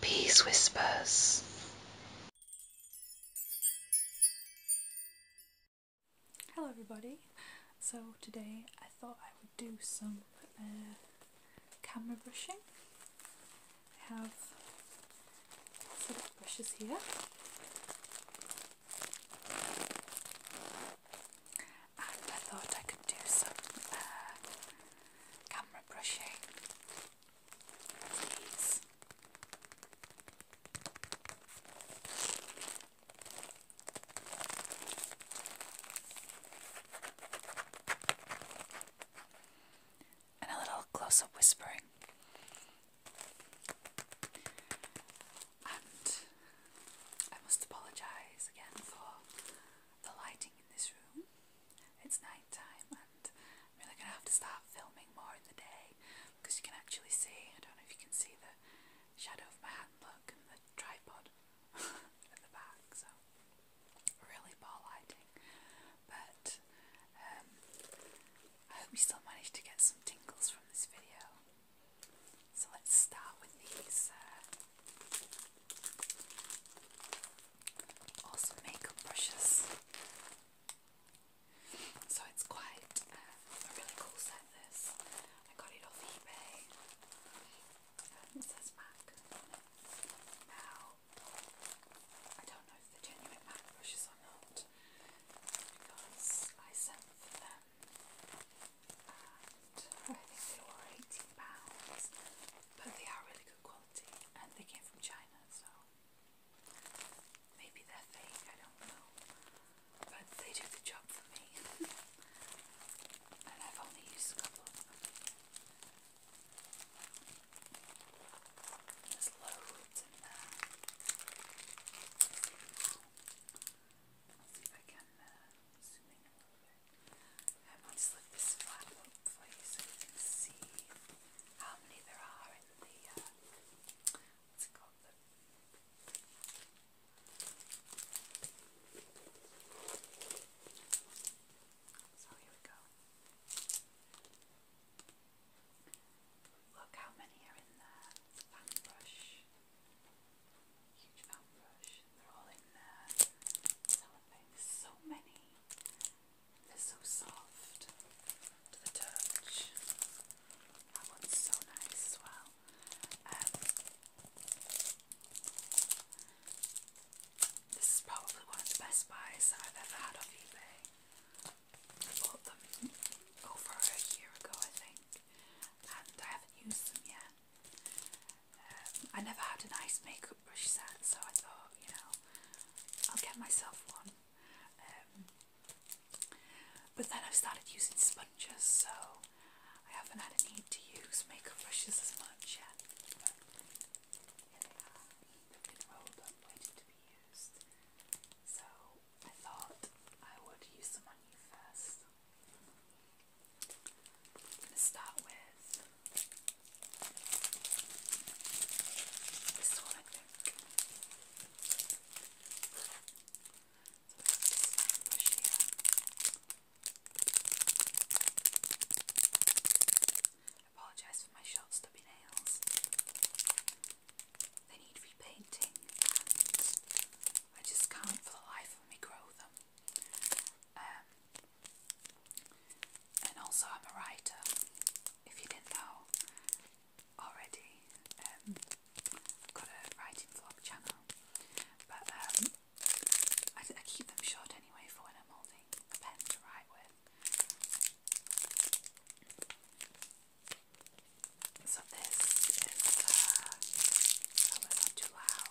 Peace whispers. Hello, everybody. So, today I thought I would do some uh, camera brushing. I have some brushes here and I thought I could do some uh, camera brushing these. And a little close up whispering and I must apologise again for the lighting in this room. It's night time, and I'm really going to have to start filming more in the day because you can actually see, I don't know if you can see the shadow of my hand and the tripod at the back, so really poor lighting. But um, I hope you still managed to get some tingles from this video. So let's start with these uh, awesome makeup brushes. So it's quite uh, a really cool set this. I got it off eBay. Um, it says MAC Now, I don't know if they genuine MAC brushes or not because I sent them I think they were £18, but they are really good quality and they came from China, so maybe they're fake, I don't know, but they do the job for me, and I've only used a couple of them. There's loads in there. Let's see if I can zoom in a little bit. I'm going to slip this flap up for you so you can see how many there are in the, so here we go. Look how many are in there. brush huge foam brush. They're all in there. so many. They're so soft to the touch. That one's so nice as well. Um, this is probably one of the best buys I've ever had off eBay. I bought them over a year ago, I think, and I haven't used them yet. Um, I never had a nice makeup brush set, so I thought, you know, I'll get myself one. Um, but then i started using sponges, so I haven't had a need to use makeup brushes as much yet. But here they are. rolled up, waiting to be used. So I thought I would use them on first. I'm going to start with this one, apologise for my short stubby nails. They need repainting I just can't for the life of me grow them. Um, and also, I'm a writer, if you didn't know already. I've um, got a writing vlog channel, but um, I, keep them short anyway for when I'm holding a pen to write with. So this is, uh, I hope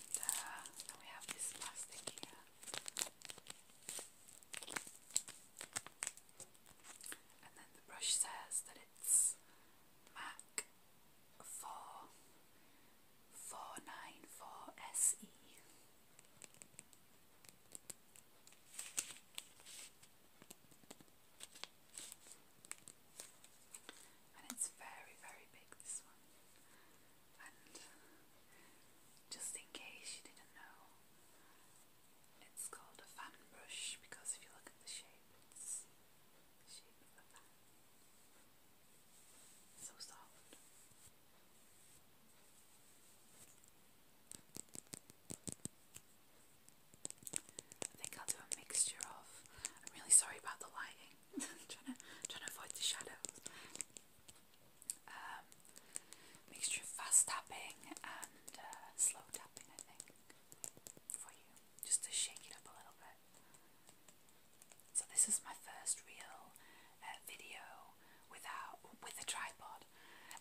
and uh, we have this plastic here. And then the brush says that it's MAC 4494SE and it's very, very big. This one, and uh, just in case you didn't know, it's called a fan brush because if you look at the shape, it's the shape of a fan. So soft. I think I'll do a mixture of. I'm really sorry about the lighting trying to trying to avoid the shadows. Um, mixture of fast tapping and uh, slow tapping, I think, for you, just to shake it up a little bit. So this is my first real uh, video without with a tripod.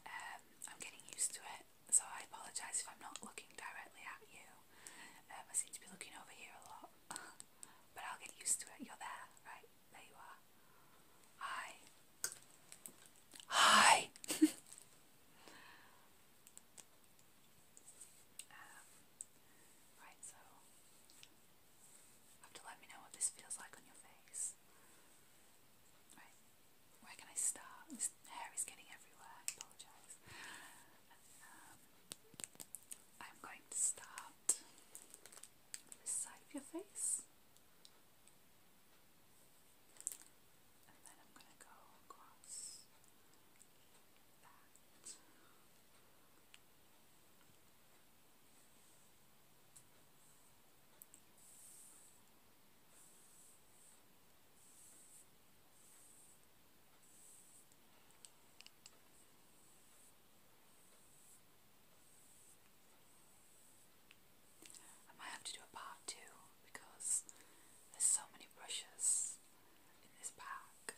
Um, I'm getting used to it, so I apologise if I'm not looking directly at you. Um, I seem to be looking over here a lot, but I'll get used to it. You're there, right? There you are. Hi. Hi. Um, right, so have to let me know what this feels like on your face. Right, where can I start? This hair is getting everywhere. apologise. Um, I'm going to start this your face. And then I'm going to go across that. I might have to do a part two because there's so many brushes in this pack.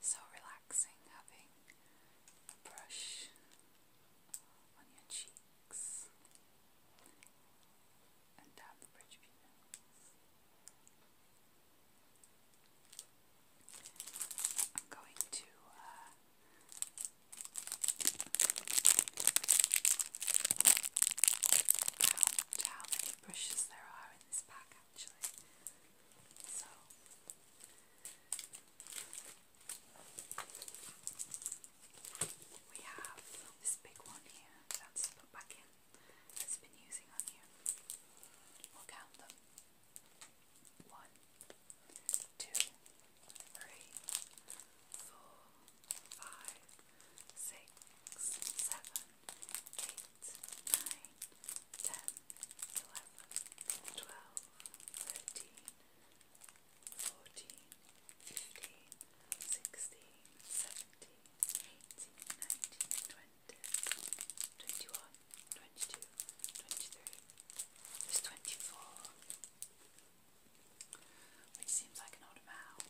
So relaxing having a brush on your cheeks and down the bridge of your nose. I'm going to uh, count how many brushes there are in this pack actually. we have this big one here that's put back in that's been using on you. We'll count them. One, two, three, four, five, six, seven, eight, nine, ten, eleven, twelve, thirteen, fourteen, fifteen, sixteen, seventeen, eighteen, nineteen, twenty, twenty-one, twenty-two, twenty-three. which seems like an odd amount.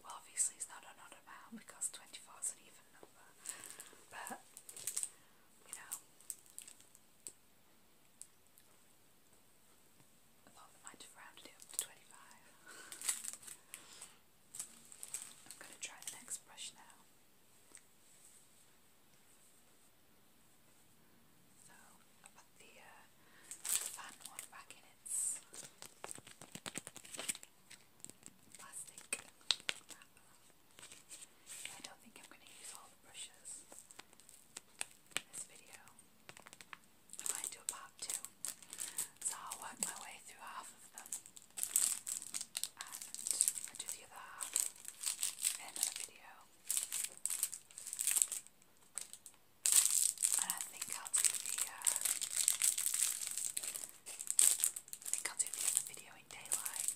Well, obviously it's not an odd amount because twenty-four is even even But you know I might have rounded it up to twenty five. I'm gonna try the next brush now. So I the fan one back in its I don't think I'm going to use all the brushes in this video. I might do part two, so I'll work my way through half of them and I'll do the other half in another video. And I think I'll do the uh, I think I'll do the video in daylight.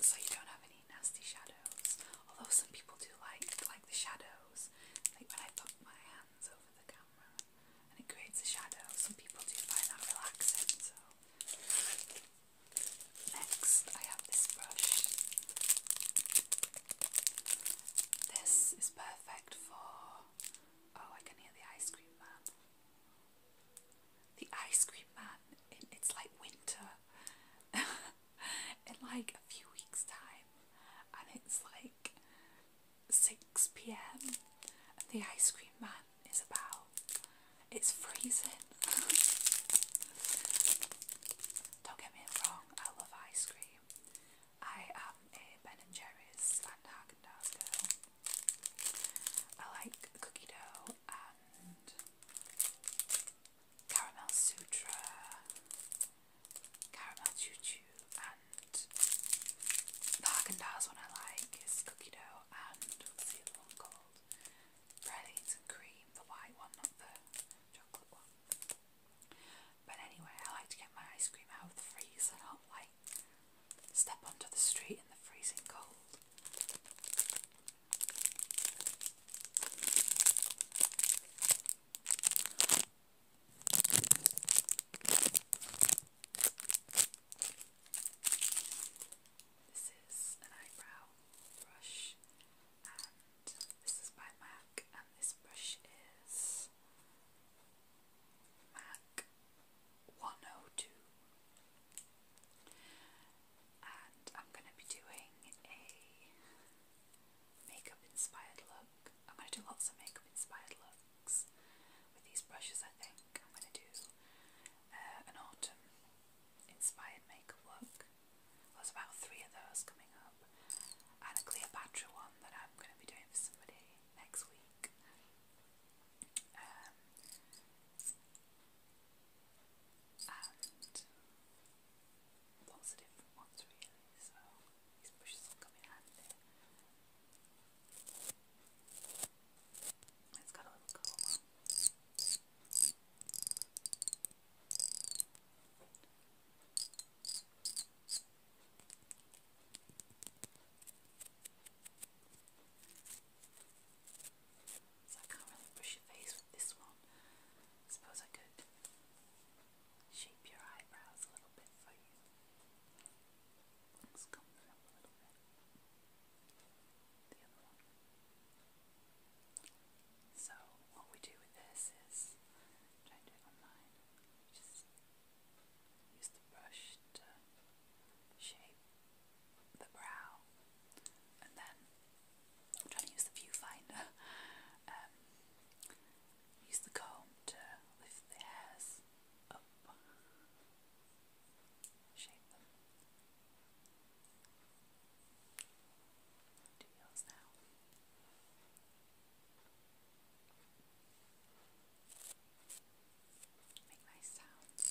So you don't have any nasty shadows. Although some people do like like the shadows. Like when I put my hands over the camera and it creates a shadow. Some people do find that relaxing, so Next, I have this brush. This is perfect for. Oh, I can hear the ice cream man the ice cream man and it's like winter in like a few weeks time and it's like 6 p.m. and the ice cream man is about it's freezing don't get me wrong I love ice cream I am a Ben and Jerry's and Haagen-Dazs girl I like cookie dough and caramel sutra, caramel choo choo, and the Haagen Dazs one I like is cookie dough and what's the other Pralines and cream, the white one, not the chocolate one. But anyway, I like to get my ice cream out of the freezer, Step onto the street in the freezing cold. This is an eyebrow brush, and this is by MAC, and this brush is MAC 102. And I'm going to be doing a makeup inspired look. I'm going to do lots of makeup inspired looks with these brushes, I think. I'm going to do uh, an autumn inspired makeup look. there's about three of those coming up, and a Cleopatra one that I'm going to be doing for somebody next week. Um, and ones really, so these brushes will come in handy. It's got a little colour. So I can't really brush your face with this one. I suppose I could shape your eyebrows a little bit for you. Let's comb them up a little bit. The other one. So what we do with this is try and do it on mine. Just use the brush to shape the brow and then i to use the viewfinder um, use the comb to lift the hairs up shape them do now Make nice sounds.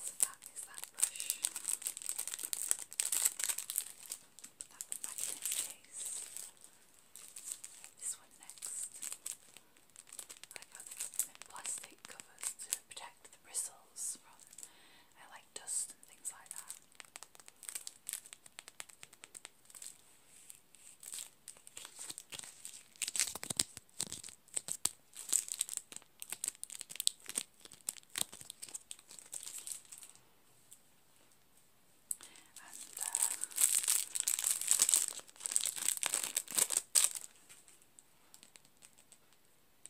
So that is that brush. Put that one back This one next. I like how plastic covers to protect the bristles I like like dust and things like that. Uh,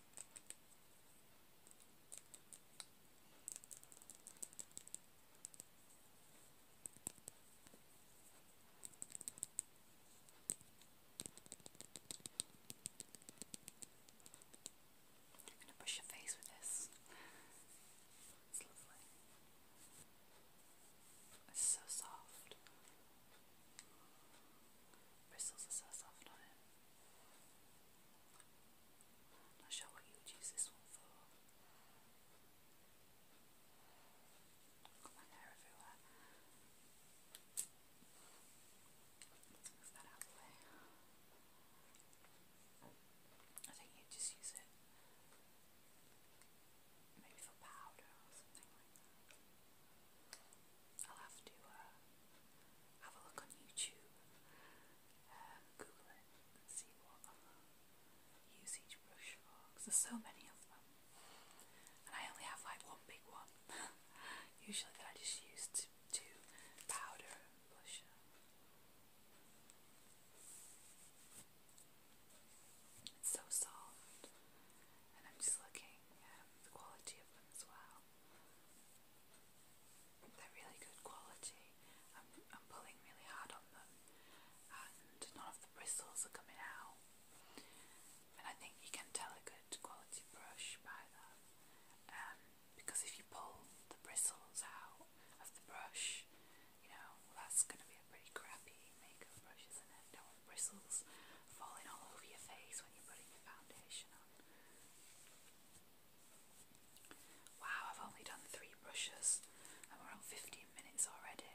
I'm going to brush your face with this. It's so soft. Bristles are so soft on it. I'm not sure what you would use this one for. Got my hair everywhere. let that out the way. I think you'd just use it maybe for powder I'll have to uh, have a look on YouTube um, Google it and see what I use each brush for because there's so many of them and I only have like one big one usually that I just use to do powder and blusher it's so soft and I'm just looking at um, the quality of them as well they're really good quality. I'm, pulling really hard on them and none of the bristles are coming out. And I think you can tell a good quality brush by that. Um, because if you pull the bristles out of the brush, you know, that's going to be a pretty crappy makeup brush, isn't it? You do bristles falling all over your face when you're putting your foundation on. Wow, I've only done three brushes and we're on 15 minutes already.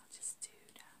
I'll just do down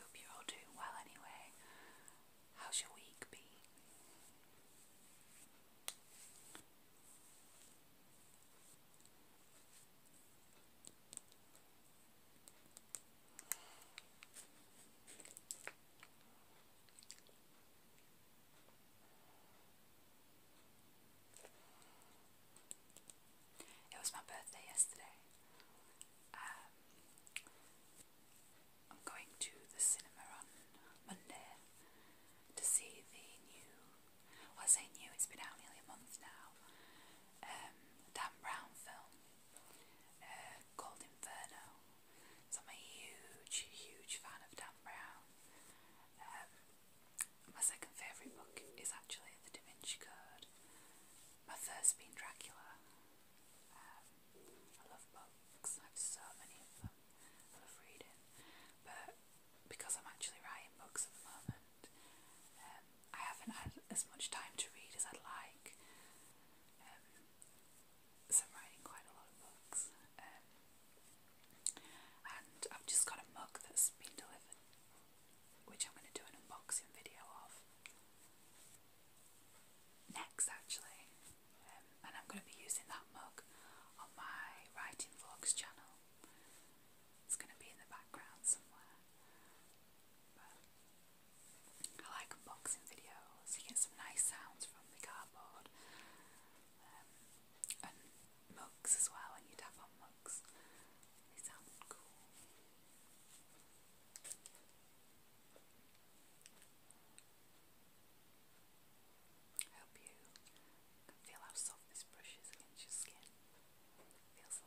Hope you're all doing well anyway. How's your week been? It was my birthday yesterday. Um, I'm going to the cinema on Monday to see the new. I say new, it's been out nearly a month now. Um, Dan Brown film uh, called Inferno. So I'm a huge, huge fan of Dan Brown. Um, my second favourite book is actually The Da Vinci Code. My first being Dracula. Um, I love books, I have so many of them. I love reading. But because I'm actually writing books at the moment, um, I haven't had as much time to read as I'd like. Um, so writing quite a lot of books. And I've just got a mug that's been delivered, which I'm going to do an unboxing video of next, actually. Um, and I'm going to be using that mug on my writing vlogs channel. It's going to be in the background somewhere. I like unboxing videos. You get some nice sounds from the cardboard. Um, mugs as well, and you'd have on mugs. They sound cool. I hope you can feel how soft this brush is against your skin. It feels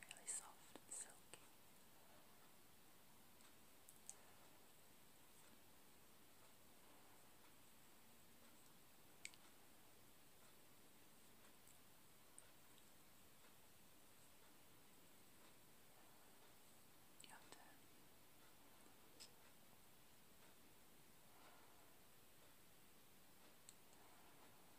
Really soft and silky. You have to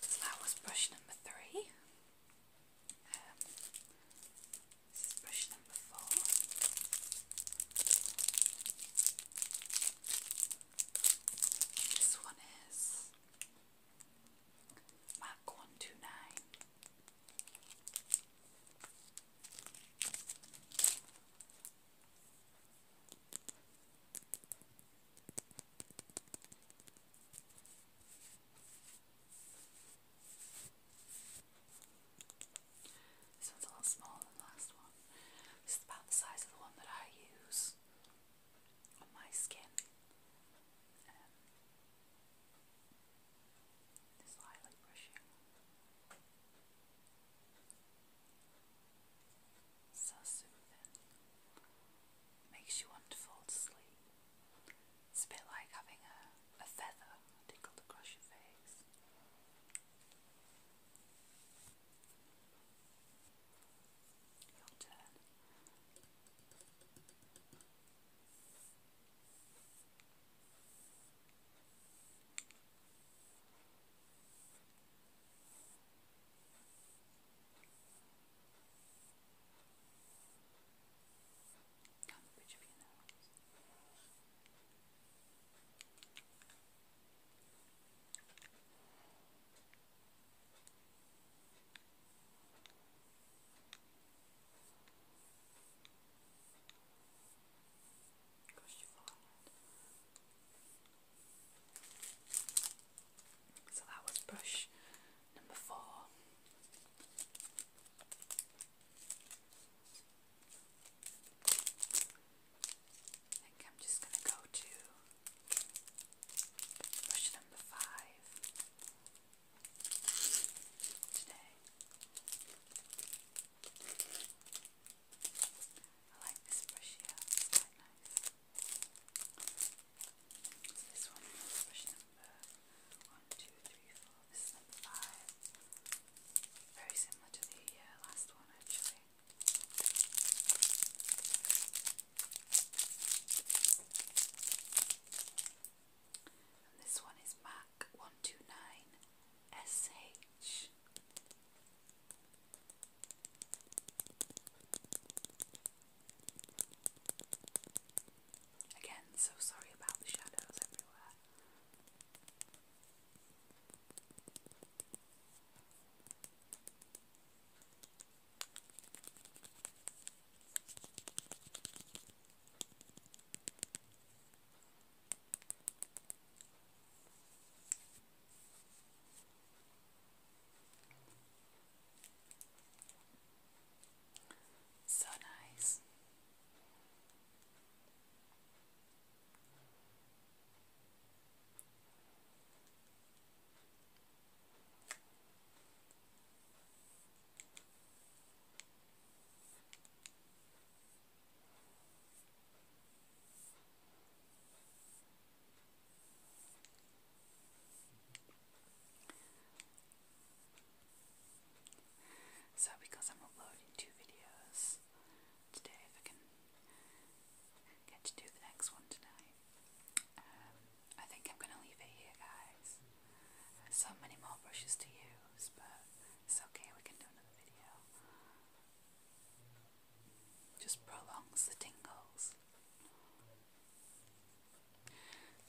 Let's that was brush number three. Um, this is brush number four. This one is Mac 129. This one's a little smaller than the last one. This is about the size of the one that I use my skin. Um, this highlight brushing. So soothing. Makes you want to fall to It's a bit like having a, a feather tickled across your face. Your turn. Down the bridge of your nose. Push So that was brush number four. I think I'm just going to go to Brush number five today. I like this brush here, it's quite nice. So this one is brush number one, two, three, four. This is number five. Very similar to the uh, last one actually this one is Mac one two nine SH. Again, so sorry about the shadows everywhere. So nice. So, because I'm uploading two videos today, if I can get to do the next one tonight, um, I think I'm going to leave it here, guys. So many more brushes to use, but it's okay, we can do another video. Just prolongs the tingles.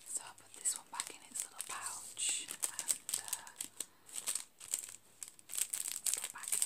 So I'll put this one back in its little pouch and uh, put back it.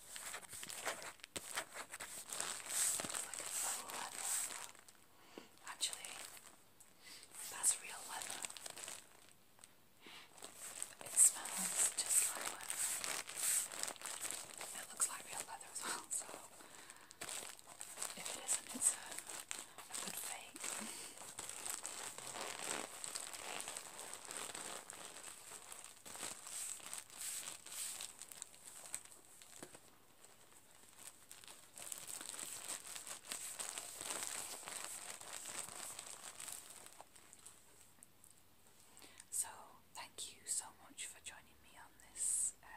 Like a fun leather. Actually, that's real leather. It smells just like leather. It looks like real leather as well, so if it isn't, it's a, a good fake. So, thank you so much for joining me on this uh,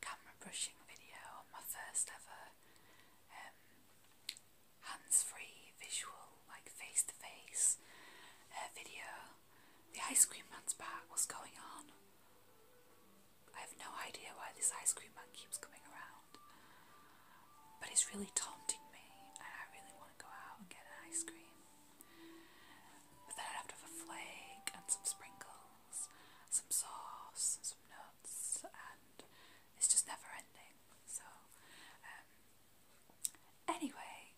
camera brushing video on my first ever um, hands free visual, like face to face video. The ice cream man's back. What's going on? I have no idea why this ice cream man keeps coming around. But he's really taunting me, and I really want to go out and get an ice cream. But then I'd have to have a flake and some sprinkles, some sauce, and some nuts, and it's just never ending. So, um, anyway,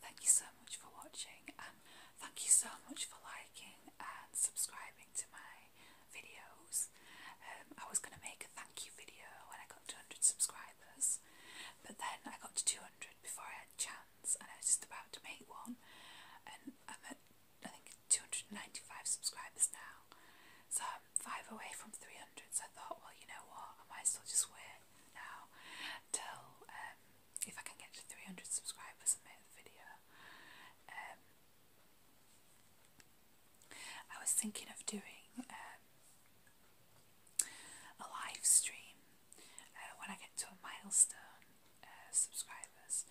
Thank you so much for watching and thank you so much for liking and subscribing to my videos. Um, I was going to make a thank you video when I got two hundred subscribers but then I got to 200 before I had a chance and I was just about to make one and I'm at I think 295 subscribers now so I'm 5 away from 300 so I thought well you know what I might as well just wait now till um, if I can get to 300 subscribers video. Um, I was thinking of doing um, a live stream uh, when I get to a milestone uh, subscribers,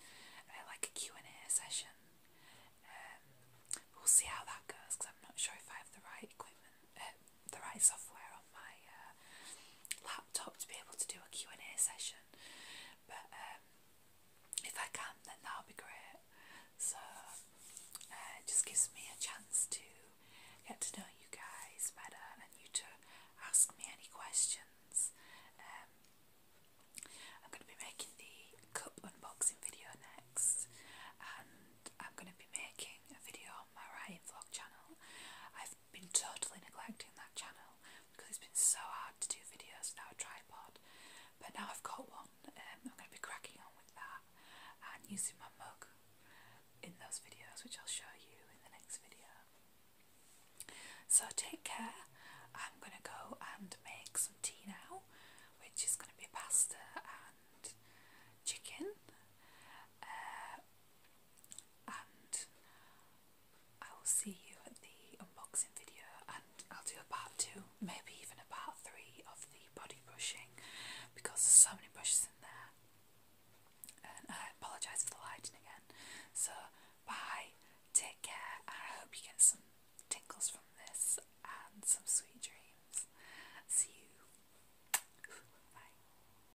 uh, like a Q&A session. Um, we'll see how that goes because I'm not sure if I have the right equipment, uh, the right software on my uh, laptop to be able to do a Q&A session but um, if I can then that'll be great so uh, it just gives me a chance to get to know you guys better and you to ask me any questions um, I'm going to be making the cup unboxing video next and I'm going to be making a video on my writing vlog channel I've been totally neglecting that channel because it's been so hard to do videos without a tripod. But now I've got one, um, I'm going to be cracking on with that and using my mug in those videos, which I'll show you in the next video. So take care. I'm going to go and make some tea now, which is going to be pasta and chicken. Uh, and I will see you at the unboxing video and I'll do a part two, maybe even a part three of the body brushing because there's so many brushes in there. And I apologise for the lighting again. So bye, take care, and I hope you get some tingles from this and some sweet dreams. See you. Bye.